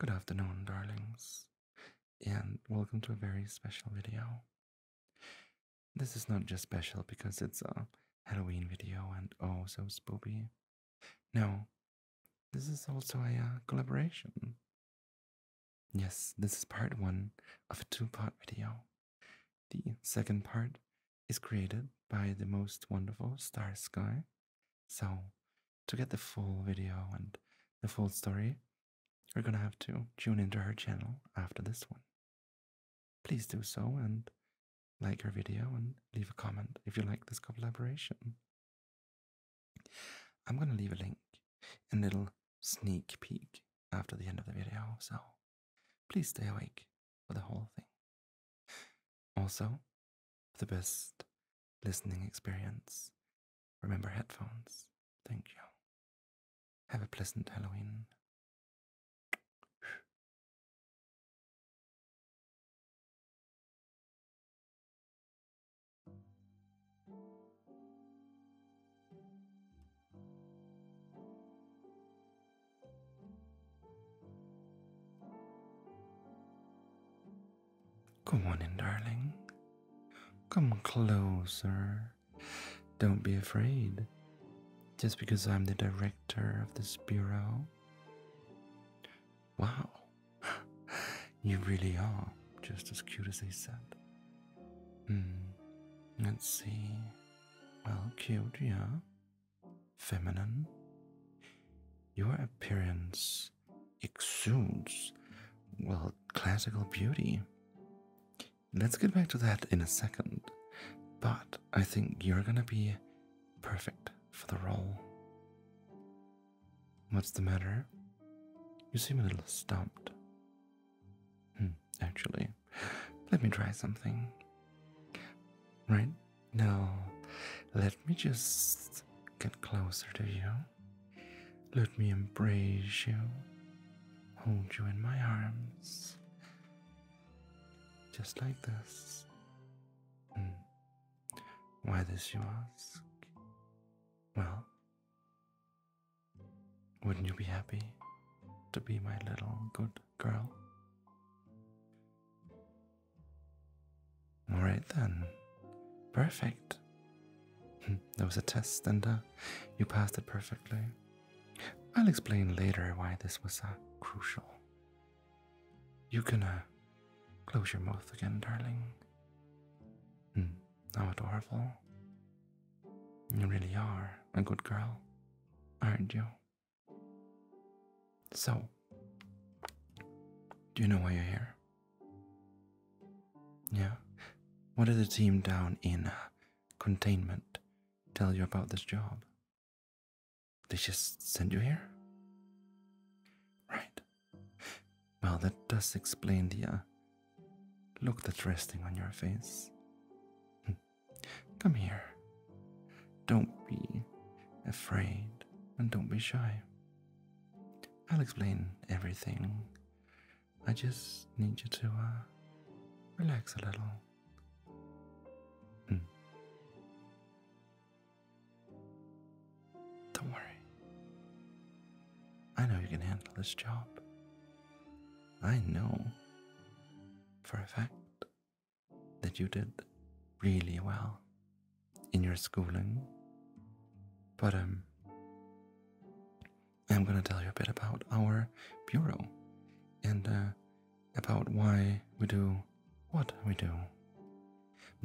Good afternoon, darlings, and welcome to a very special video. This is not just special because it's a Halloween video and oh so spooky. No, this is also a uh, collaboration. Yes, this is part one of a two part video. The second part is created by the most wonderful Star Sky, so to get the full video and the full story, you're gonna have to tune into her channel after this one. Please do so and like her video and leave a comment if you like this collaboration. I'm gonna leave a link, and little sneak peek after the end of the video, so please stay awake for the whole thing. Also, for the best listening experience, remember headphones. Thank you. Have a pleasant Halloween. Come on in, darling. Come closer. Don't be afraid. Just because I'm the director of this bureau. Wow. you really are just as cute as they said. Hmm. Let's see. Well, cute, yeah. Feminine. Your appearance exudes, well, classical beauty. Let's get back to that in a second, but I think you're gonna be perfect for the role. What's the matter? You seem a little stumped. Hmm, actually, let me try something. Right now, let me just get closer to you. Let me embrace you, hold you in my arms, just like this. Hmm. Why this, you ask? Well, wouldn't you be happy to be my little good girl? All right then. Perfect. that was a test, and uh, you passed it perfectly. I'll explain later why this was uh, crucial. You can uh, close your mouth again, darling. Hmm, how adorable. You really are a good girl, aren't you? So, do you know why you're here? Yeah. What did the team down in uh, containment tell you about this job? They just send you here? Right. Well, that does explain the uh, look that's resting on your face. Hmm. Come here. Don't be afraid and don't be shy. I'll explain everything. I just need you to uh, relax a little. Hmm. Don't worry. I know you can handle this job. I know for a fact that you did really well in your schooling, but um, I'm gonna tell you a bit about our bureau and uh, about why we do what we do.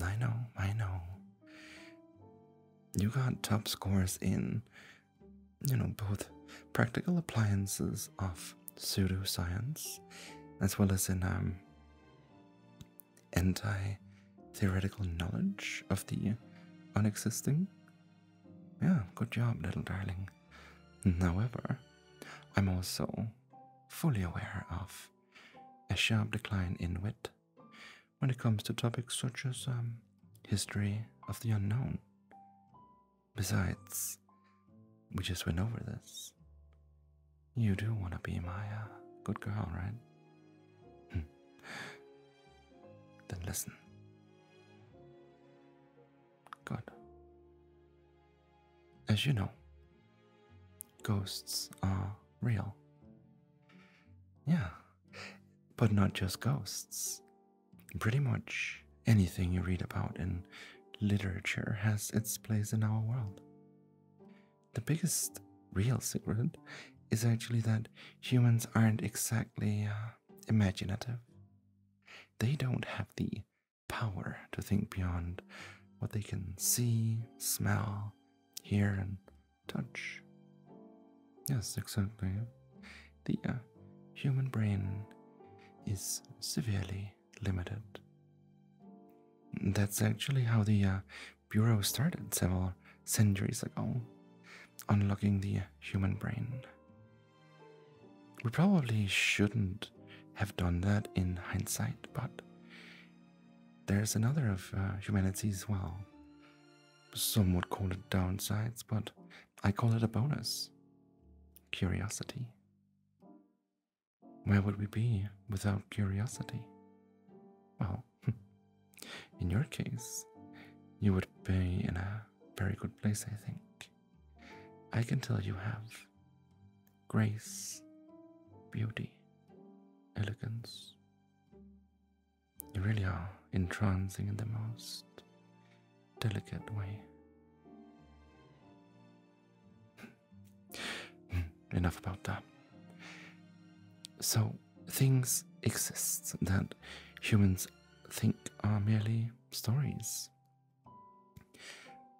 I know, I know. You got top scores in, you know, both practical appliances of pseudoscience as well as in um, anti theoretical knowledge of the unexisting? Yeah, good job, little darling. However, I'm also fully aware of a sharp decline in wit when it comes to topics such as um, history of the unknown. Besides, we just went over this. You do want to be my uh, good girl, right? Then hm. listen. Good. As you know, ghosts are real. Yeah, but not just ghosts. Pretty much anything you read about in literature has its place in our world. The biggest real secret is actually that humans aren't exactly uh, imaginative. They don't have the power to think beyond what they can see, smell, hear, and touch. Yes, exactly. The uh, human brain is severely limited. That's actually how the uh, bureau started several centuries ago, unlocking the human brain. We probably shouldn't have done that in hindsight, but there's another of uh, humanity as well. Some would call it downsides, but I call it a bonus curiosity. Where would we be without curiosity? Well, Hmm. In your case, you would be in a very good place, I think. I can tell you have grace, beauty, elegance. You really are entrancing in the most delicate way. Hmm. Hmm. Enough about that. So, things exist that humans think are merely stories.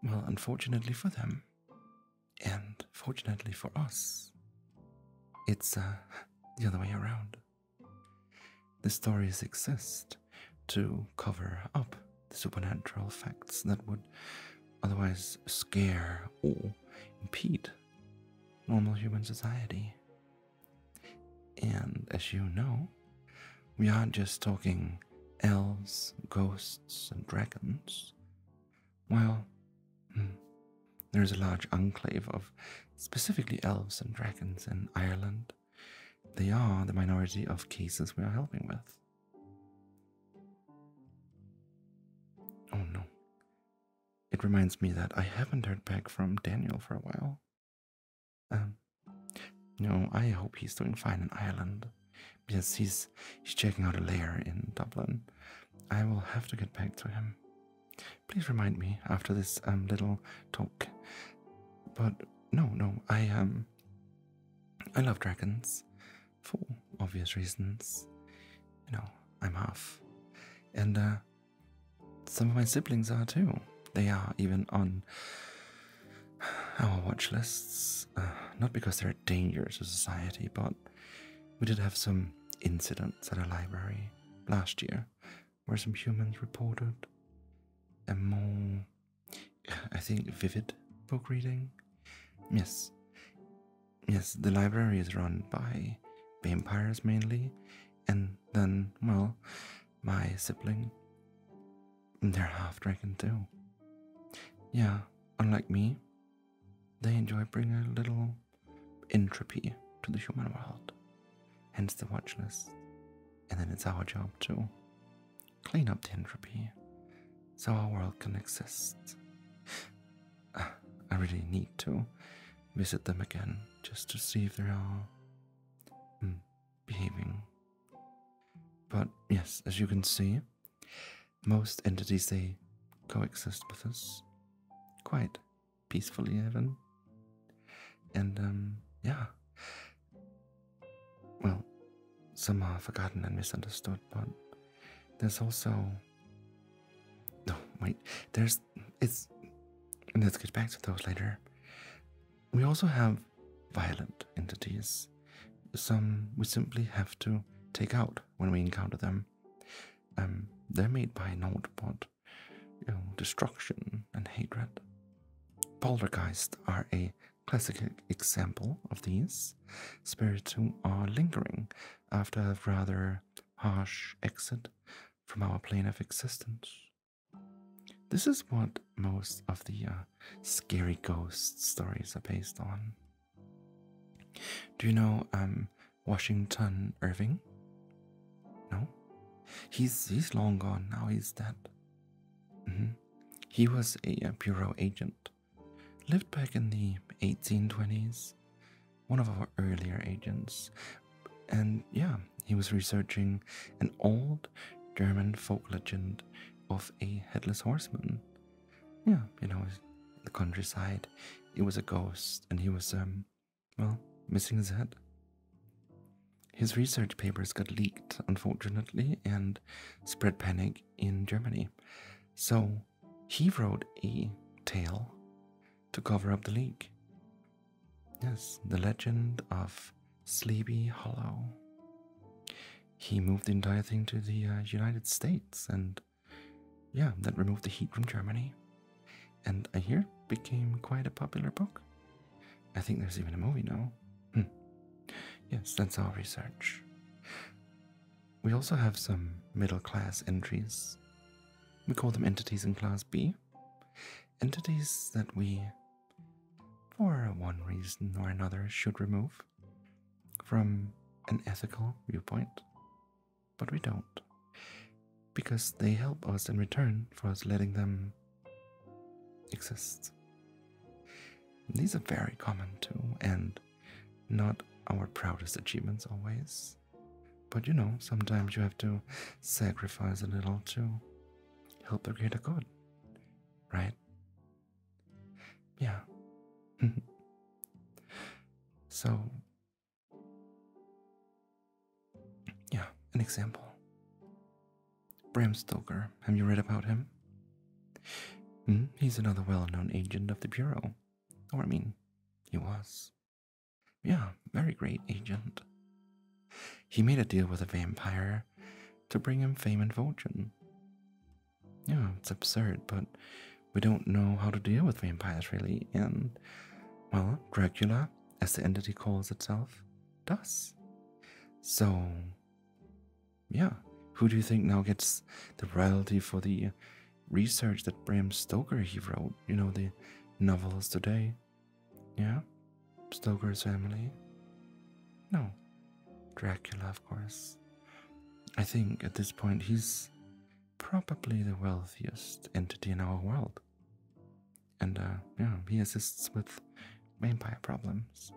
Well, unfortunately for them, and fortunately for us, it's uh, the other way around. The stories exist to cover up the supernatural facts that would otherwise scare or impede normal human society. And as you know, we aren't just talking elves, ghosts, and dragons. Well, hmm, there is a large enclave of specifically elves and dragons in Ireland. They are the minority of cases we are helping with. Oh no. It reminds me that I haven't heard back from Daniel for a while. Um, no, I hope he's doing fine in Ireland, because he's he's checking out a layer in Dublin. I will have to get back to him. Please remind me after this um, little talk. But no, no, I um I love dragons for obvious reasons. You know, I'm half. And uh, some of my siblings are too. They are even on our watch lists. Uh, not because they're dangerous to society, but we did have some incidents at a library last year where some humans reported a more, I think, vivid book reading. Yes, Yes, the library is run by vampires mainly, and then, well, my sibling. They're half dragon too. Yeah, unlike me, they enjoy bringing a little entropy to the human world, hence the watch list. And then it's our job to clean up the entropy so our world can exist. I really need to visit them again just to see if they are all mm, behaving. But yes, as you can see, most entities they coexist with us quite peacefully, even. And um, yeah, well, some are forgotten and misunderstood, but there's also no, wait, there's. It's. Let's get back to those later. We also have violent entities. Some we simply have to take out when we encounter them. Um, they're made by naught but destruction and hatred. Poltergeists are a classic example of these. Spirits who are lingering after a rather harsh exit from our plane of existence. This is what most of the uh, scary ghost stories are based on. Do you know um, Washington Irving? No, he's he's long gone now. He's dead. Mm-hmm. He was a bureau agent, lived back in the 1820s, one of our earlier agents. And yeah, he was researching an old German folk legend of a headless horseman. Yeah, you know, the countryside, it was a ghost, and he was, um, well, missing his head. His research papers got leaked, unfortunately, and spread panic in Germany. So he wrote a tale to cover up the leak. Yes, the legend of Sleepy Hollow. He moved the entire thing to the uh, United States, and yeah, that removed the heat from Germany. And I hear it became quite a popular book. I think there's even a movie now. Hmm. Yes, that's our research. We also have some middle class entries. We call them entities in class B entities that we, for one reason or another, should remove from an ethical viewpoint, but we don't. Because they help us in return for us letting them exist. These are very common too, and not our proudest achievements always. But you know, sometimes you have to sacrifice a little to help the greater good, right? Yeah. so, yeah, an example. Bram Stoker, have you read about him? Hmm, he's another well known agent of the Bureau. Or, I mean, he was. Yeah, very great agent. He made a deal with a vampire to bring him fame and fortune. Yeah, it's absurd, but we don't know how to deal with vampires really, and, well, Dracula, as the entity calls itself, does. So, yeah, who do you think now gets the royalty for the research that Bram Stoker he wrote? You know, the novels today. Yeah? Stoker's family? No. Dracula, of course. I think at this point he's probably the wealthiest entity in our world. And uh, yeah, he assists with vampire problems.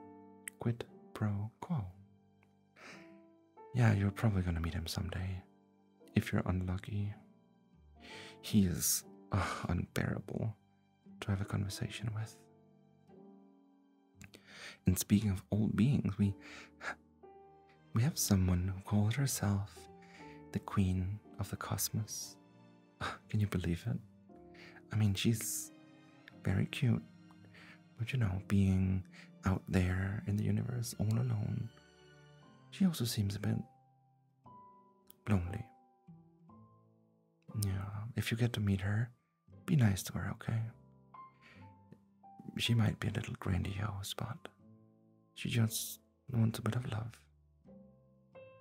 Quid pro quo. Yeah, you're probably gonna meet him someday. If you're unlucky, he is ah, unbearable to have a conversation with. And speaking of old beings, we we have someone who called herself the queen of the cosmos. Ah, can you believe it? I mean, she's very cute, but you know, being out there in the universe all alone, she also seems a bit lonely. Yeah, if you get to meet her, be nice to her, okay? She might be a little grandiose, but she just wants a bit of love,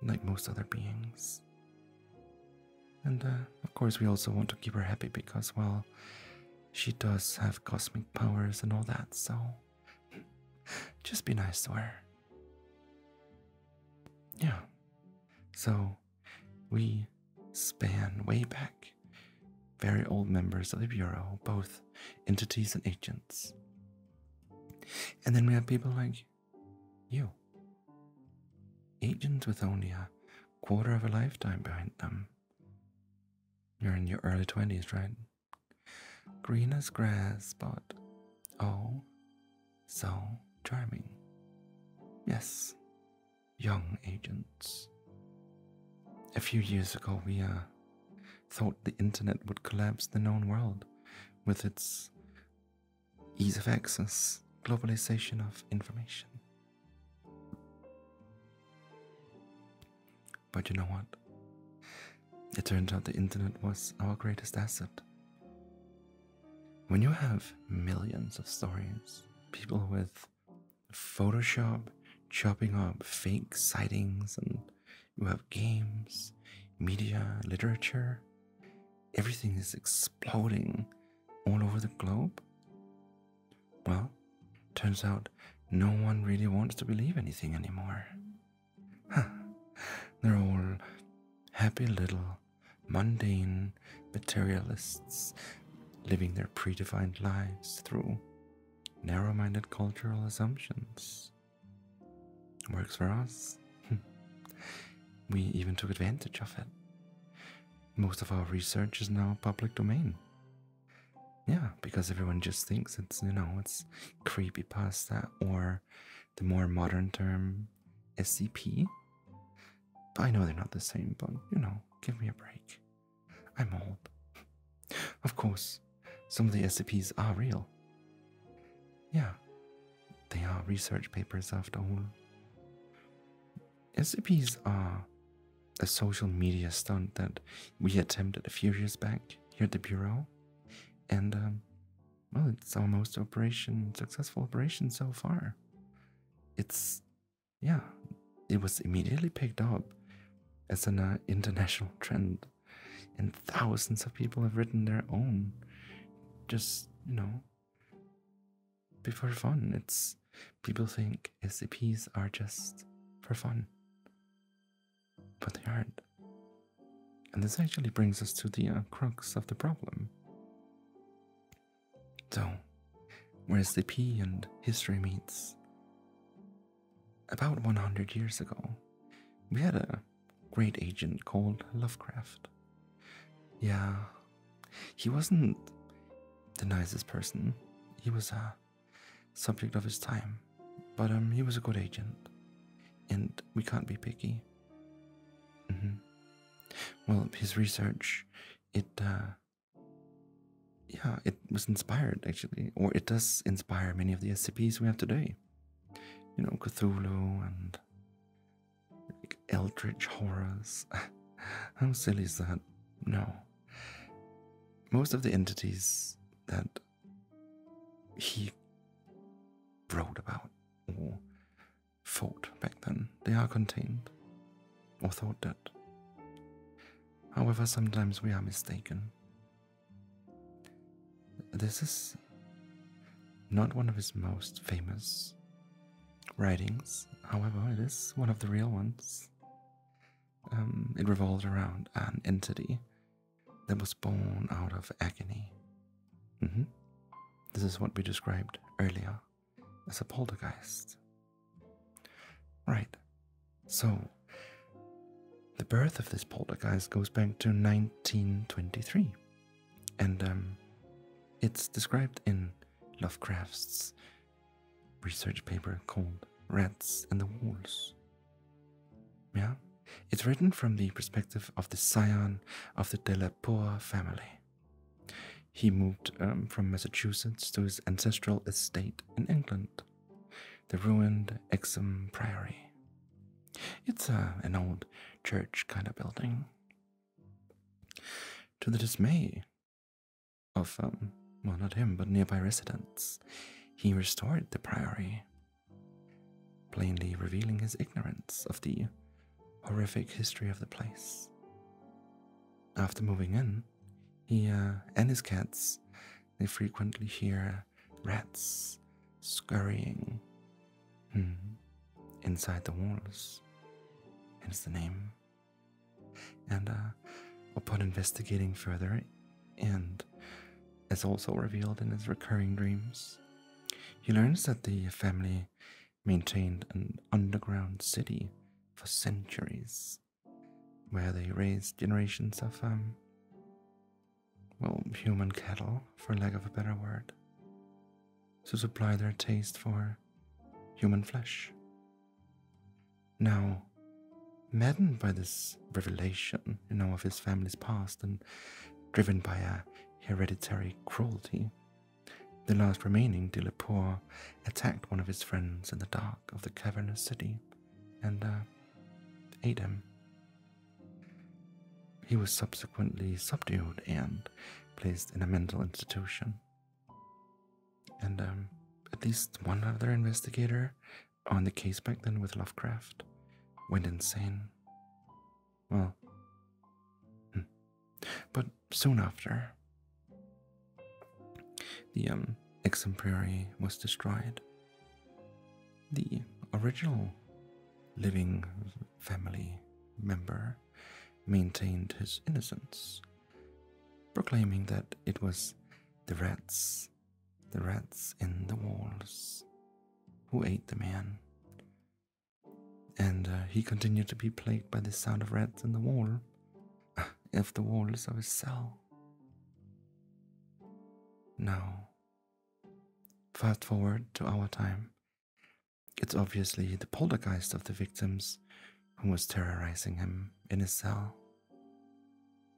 like most other beings. And uh, of course, we also want to keep her happy because, well, she does have cosmic powers and all that, so. Just be nice to her. Yeah. So we span way back. Very old members of the Bureau, both entities and agents. And then we have people like you. Agents with only a quarter of a lifetime behind them. You're in your early 20s, right? green as grass, but oh, so charming. Yes, young agents. A few years ago, we uh, thought the internet would collapse the known world with its ease of access, globalization of information. But you know what? It turned out the internet was our greatest asset. When you have millions of stories, people with Photoshop chopping up fake sightings, and you have games, media, literature, everything is exploding all over the globe. Well, turns out no one really wants to believe anything anymore. They're all happy little mundane materialists living their predefined lives through narrow minded cultural assumptions. Works for us. we even took advantage of it. Most of our research is now public domain. Yeah, because everyone just thinks it's, you know, it's creepy pasta or the more modern term SCP. But I know they're not the same, but you know, give me a break. I'm old. Of course, some of the SCPs are real. Yeah, they are research papers after all. SCPs are a social media stunt that we attempted a few years back here at the Bureau, and um, well, it's almost operation successful operation so far. It's yeah, it was immediately picked up as an uh, international trend, and thousands of people have written their own. Just you know, before fun. It's people think SCPs are just for fun but they aren't. And this actually brings us to the uh, crux of the problem. So, where SDP and history meets. About 100 years ago, we had a great agent called Lovecraft. Yeah, he wasn't the nicest person. He was a subject of his time, but um, he was a good agent, and we can't be picky. Mm-hmm. Well, his research, it, uh, yeah, it was inspired actually, or it does inspire many of the SCPs we have today. You know, Cthulhu and Eldritch horrors. How silly is that? No. Most of the entities that he wrote about or thought back then. They are contained, or thought that. However, sometimes we are mistaken. This is not one of his most famous writings, however, it is one of the real ones. Um, it revolved around an entity that was born out of agony. Mm-hmm. This is what we described earlier as a poltergeist. Right, so the birth of this poltergeist goes back to 1923, and um, it's described in Lovecraft's research paper called Rats and the Walls. Yeah? It's written from the perspective of the scion of the Delaporte family. He moved um, from Massachusetts to his ancestral estate in England, the ruined Exham Priory. It's uh, an old church kind of building. To the dismay of, um, well, not him, but nearby residents, he restored the priory plainly revealing his ignorance of the horrific history of the place. After moving in, he uh, and his cats, they frequently hear rats scurrying hmm, inside the walls, hence the name. And uh, upon investigating further and is also revealed in his recurring dreams. He learns that the family maintained an underground city for centuries where they raised generations of, um, well, human cattle, for lack of a better word, to supply their taste for human flesh. Now, maddened by this revelation, you know, of his family's past and driven by a hereditary cruelty, the last remaining de la Poor attacked one of his friends in the dark of the cavernous city and uh, ate him. He was subsequently subdued and placed in a mental institution. And um, at least one other investigator on the case back then with Lovecraft went insane. Well, hmm. but soon after, the um, exemplary was destroyed. The original living family member maintained his innocence, proclaiming that it was the rats, the rats in the walls, who ate the man and uh, he continued to be plagued by the sound of rats in the wall, if the walls of his cell. Now, fast forward to our time. It's obviously the poltergeist of the victims who was terrorizing him in his cell.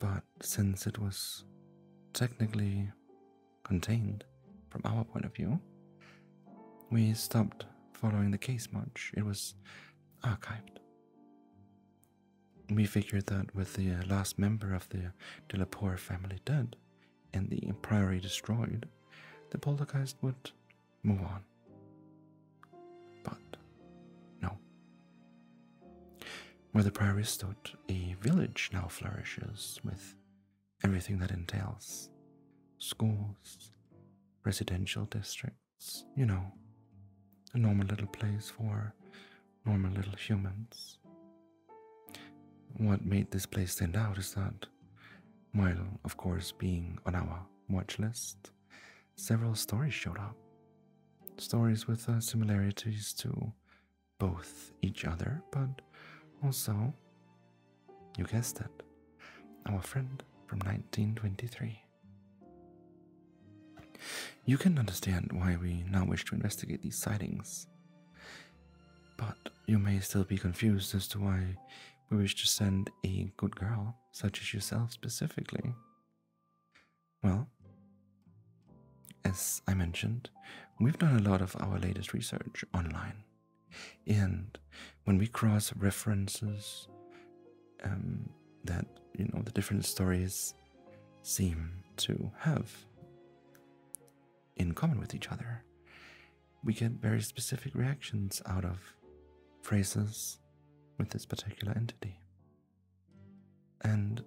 But since it was technically contained from our point of view. We stopped following the case much, it was archived. We figured that with the uh, last member of the Delaporte family dead and the priory destroyed, the poltergeist would move on. But no. Where the priory stood, a village now flourishes with everything that entails schools, residential districts, you know, a normal little place for normal little humans. What made this place stand out is that, while of course being on our watch list, several stories showed up. Stories with uh, similarities to both each other, but also, you guessed it, our friend from 1923. You can understand why we now wish to investigate these sightings, but you may still be confused as to why we wish to send a good girl, such as yourself specifically. Well, as I mentioned, we've done a lot of our latest research online and when we cross references, um, that you know the different stories seem to have in common with each other, we get very specific reactions out of phrases with this particular entity. And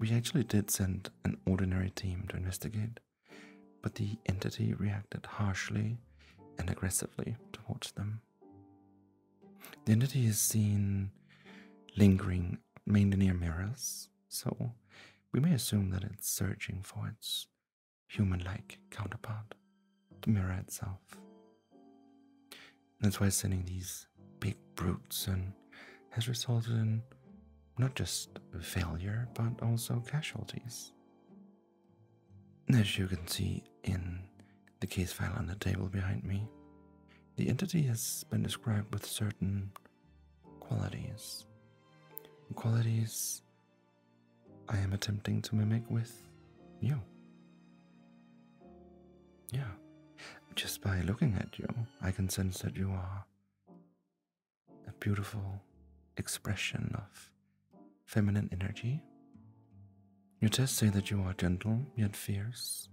we actually did send an ordinary team to investigate but the entity reacted harshly and aggressively towards them. The entity is seen lingering mainly near mirrors, so we may assume that it's searching for its human like counterpart, the mirror itself. That's why sending these big brutes in has resulted in not just failure, but also casualties. As you can see in the case file on the table behind me, the entity has been described with certain qualities. Qualities I am attempting to mimic with you. Yeah, just by looking at you, I can sense that you are a beautiful expression of feminine energy. Your tests say that you are gentle yet fierce.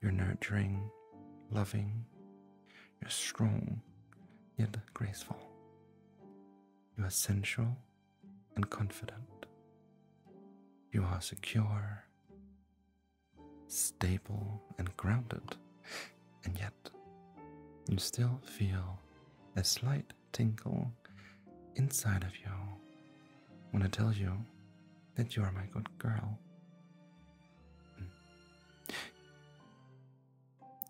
You're nurturing, loving. You're strong yet graceful. You are sensual and confident. You are secure, stable, and grounded, and yet you still feel a slight tingle inside of you when I tell you that you are my good girl.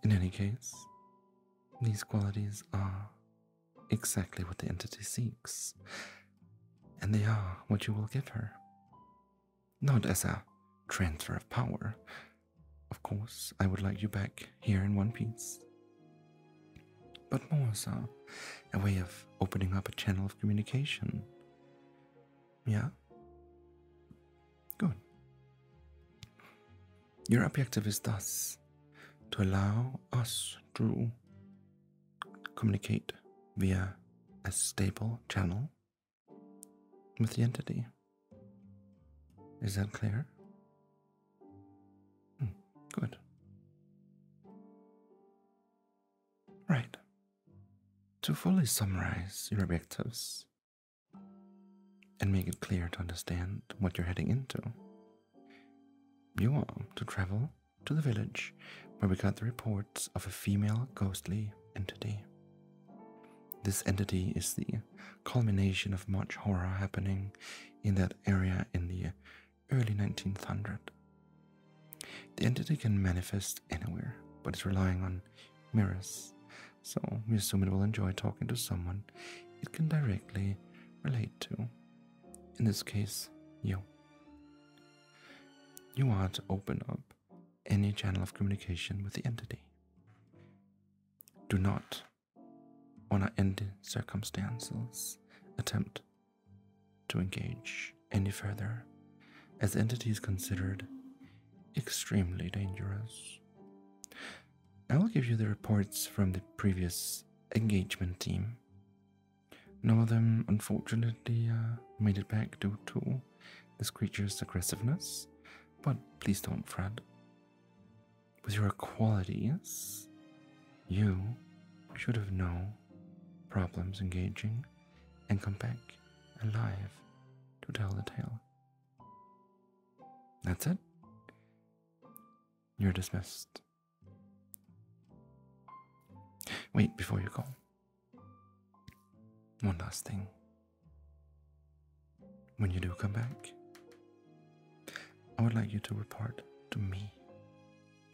In any case, these qualities are exactly what the entity seeks, and they are what you will give her. Not as a transfer of power, of course, I would like you back here in one piece. But more, are a way of opening up a channel of communication. Yeah? Good. Your objective is thus to allow us to communicate via a stable channel with the entity. Is that clear? Hmm, good. Right. To fully summarize your objectives and make it clear to understand what you're heading into, you want to travel to the village where we got the reports of a female ghostly entity this entity is the culmination of much horror happening in that area in the early 1900s. The entity can manifest anywhere, but it's relying on mirrors, so we assume it will enjoy talking to someone it can directly relate to. In this case, you. You are to open up any channel of communication with the entity. Do not or not in circumstances attempt to engage any further, as entities considered extremely dangerous. I will give you the reports from the previous engagement team. None of them, unfortunately, uh, made it back due to this creature's aggressiveness, but please don't fret with your qualities, you should have no problems engaging and come back alive to tell the tale. That's it. You're dismissed. Wait, before you go, one last thing. When you do come back, I would like you to report to me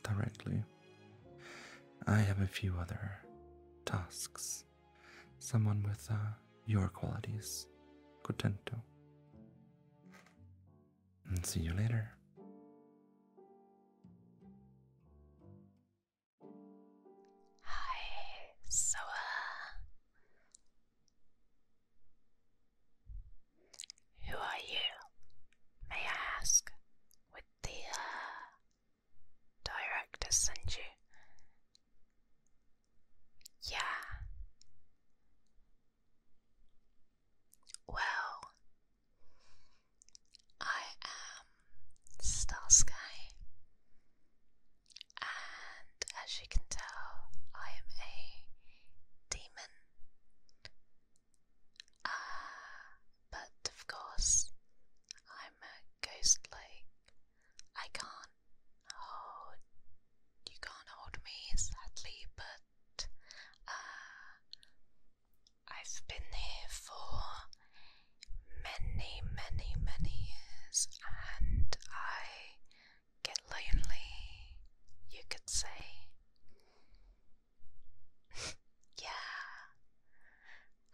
directly. I have a few other tasks. Someone with uh, your qualities could tend to. And see you later. Hi, so who are you, may I ask? With the uh, director send you? Yeah. Well, I am Star Sky and as you can tell, I am a demon. Ah, but of course, I'm a ghost like. I can't hold. You can't hold me, sadly, but uh, I've been here for many, many, many years, and I get lonely, you could say. yeah,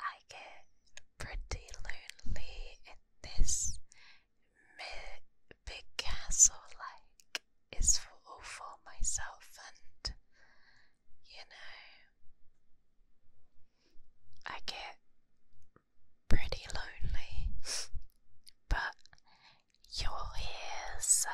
I get pretty lonely in this big castle, like, it's for all for myself, and you know, I get pretty lonely, but you're here, so.